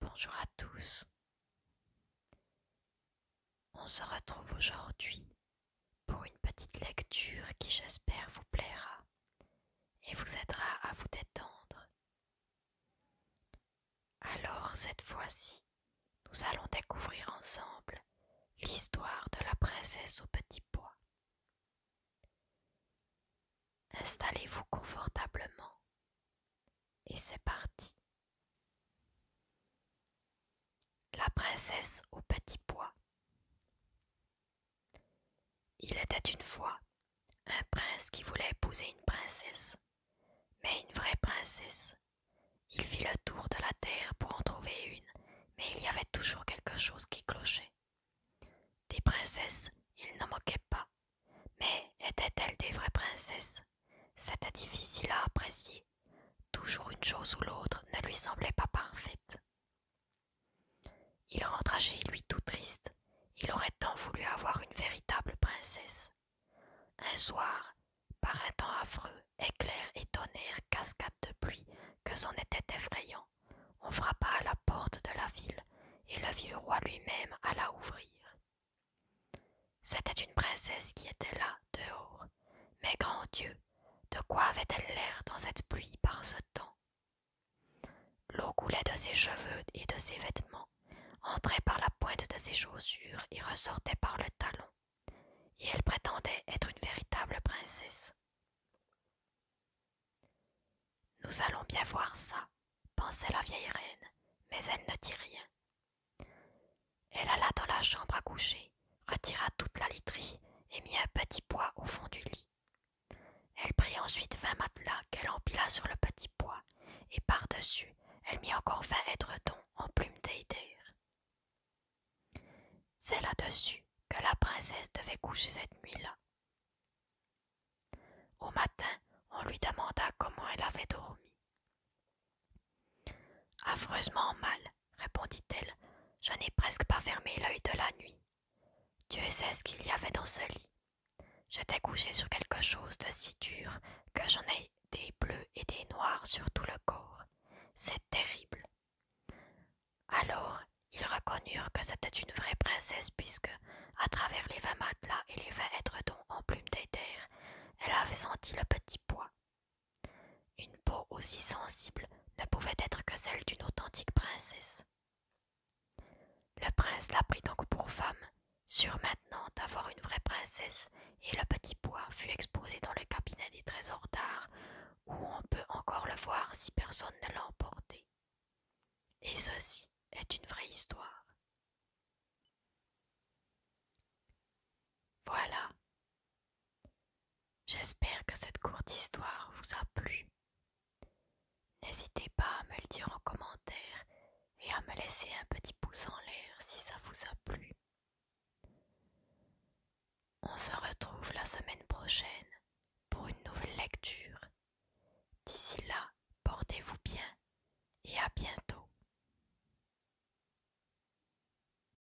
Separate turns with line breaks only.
Bonjour à tous. On se retrouve aujourd'hui pour une petite lecture qui j'espère vous plaira et vous aidera à vous détendre. Alors cette fois-ci, nous allons découvrir ensemble l'histoire de la princesse au petit bois. Installez-vous confortablement et c'est parti. La princesse au petit pois. Il était une fois un prince qui voulait épouser une princesse, mais une vraie princesse, il fit le tour de la terre pour en trouver une, mais il y avait toujours quelque chose qui clochait. Des princesses, il n'en moquait pas, mais étaient-elles des vraies princesses C'était difficile à apprécier. Toujours une chose ou l'autre ne lui semblait pas parfaite. Il rentra chez lui tout triste. Il aurait tant voulu avoir une véritable princesse. Un soir, par un temps affreux, éclairs et tonnerre, cascade de pluie, que c'en était effrayant, on frappa à la porte de la ville, et le vieux roi lui-même alla ouvrir. C'était une princesse qui était là, dehors, mais grand Dieu, de quoi avait-elle l'air dans cette pluie par ce temps L'eau coulait de ses cheveux et de ses vêtements, entrait par la pointe de ses chaussures et ressortait par le talon, et elle prétendait être une véritable princesse. Nous allons bien voir ça, pensait la vieille reine, mais elle ne dit rien. Elle alla dans la chambre à coucher, retira toute la literie et mit un petit poids au fond du lit. Elle prit ensuite vingt matelas qu'elle empila sur le petit poids et par-dessus, elle mit encore vingt édredons en plumes d'Eider. C'est là-dessus que la princesse devait coucher cette nuit-là. Au matin, on lui demanda comment elle avait dormi. Affreusement mal, répondit-elle, je n'ai presque pas fermé l'œil de la nuit. Dieu sait ce qu'il y avait dans ce lit. J'étais couchée sur quelque chose de si dur que j'en ai des bleus et des noirs sur tout le corps. C'est terrible. Alors, ils reconnurent que c'était une vraie princesse puisque, à travers les vingt matelas et les vingt édredons en plumes d'éther, elle avait senti le petit poids. Une peau aussi sensible ne pouvait être que celle d'une authentique princesse. Le prince la prit donc pour femme, sur maintenant d'avoir une vraie princesse, et le petit bois fut exposé dans le cabinet des trésors d'art, où on peut encore le voir si personne ne l'a emporté. Et ceci est une vraie histoire. Voilà, J'espère que cette courte histoire vous a plu. N'hésitez pas à me le dire en commentaire et à me laisser un petit pouce en l'air si ça vous a plu. On se retrouve la semaine prochaine pour une nouvelle lecture. D'ici là, portez-vous bien et à bientôt.